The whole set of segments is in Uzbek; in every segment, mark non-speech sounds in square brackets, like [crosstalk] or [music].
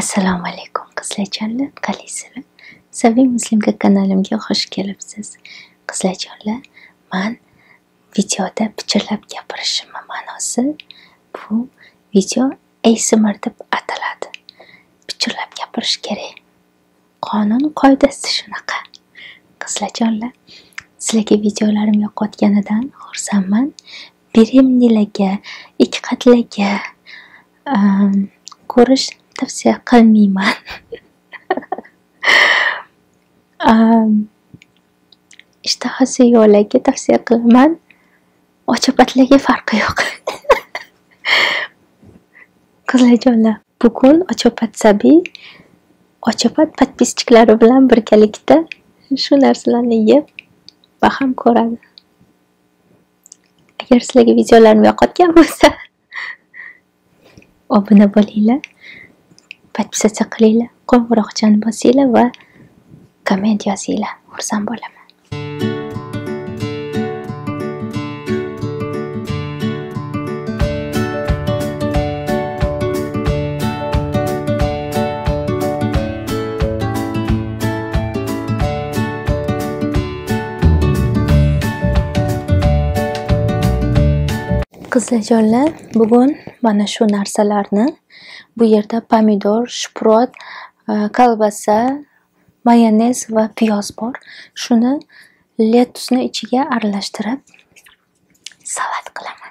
Assalomu alaykum qizlarjonlar, qalaysilar? Sabiy Muslimka kanalimga xush kelibsiz. Qizlarjonlar, man videoda pichirlab gapirishim ma'nosi bu video ASMR deb ataladi. Pichirlab gapirish kerak. Qonun qoidasi shunaqa. Qizlarjonlar, sizlarga videolarim yoqayotganidan xursandman. beremnilarga, ikkiqatlilarga ko'rish tavsiya qilmayman. [laughs] Ishtahasi yo'qlarga tavsiya qilaman. Ochoqatlarga farqi yo'q. [laughs] Qizlarjonlar, bugun Ochoqat Sabiy Ochoqat podpischiklari bilan birgalikda shu narsalarni yeb va ham ko'radi agar sizlarga videolarim yoqayotgan bo'lsa [laughs] obuna bo'linglar подписаться qilinglar qo'ng'iroqchani bosinglar va komment yozinglar xursand bo'laman Qizlajonlar, bugun mana shu narsalarni bu yerda pomidor, shprot, e, kolbasa, mayonez va piyoz bor. Shuni lettusni ichiga aralashtirib salat qilaman.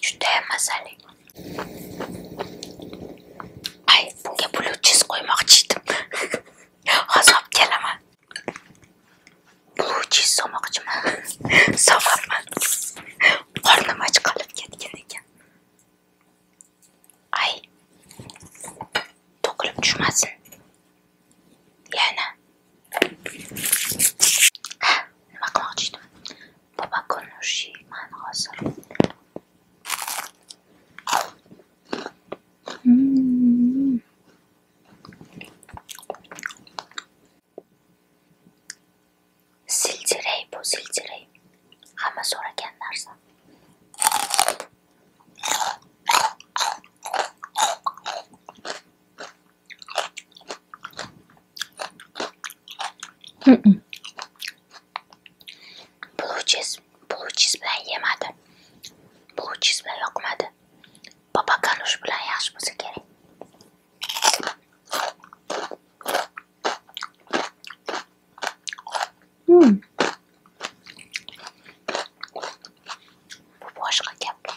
judayam mazali ay bunga blu cheese qo'ymoqchi edim hozir olib kelaman blu cheese solmoqchiman solyapman qornim och qolib ketgan ekan ay to'kilib tushmasin yana nima qilmoqchi edim bobokonushiyman hozir siljiray bu siljiray hamma so'ragan narsa Bluchiz, bluchiz bilan yemadi. Bluchiz bilan yoqmadi. Baba kanush bilan yaxshi bo'lsa kerak. Mm. Bu boshqa gap.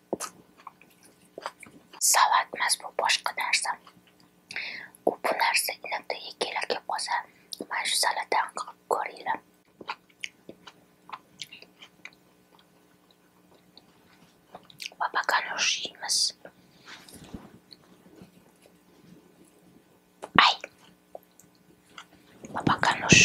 Salat emas bu boshqa narsa. U bu narsa inakda yegilarga qolsa, mana shu salatdan qilib ko'ringlar. Babakanush yeymiz. Ay. Babakanush.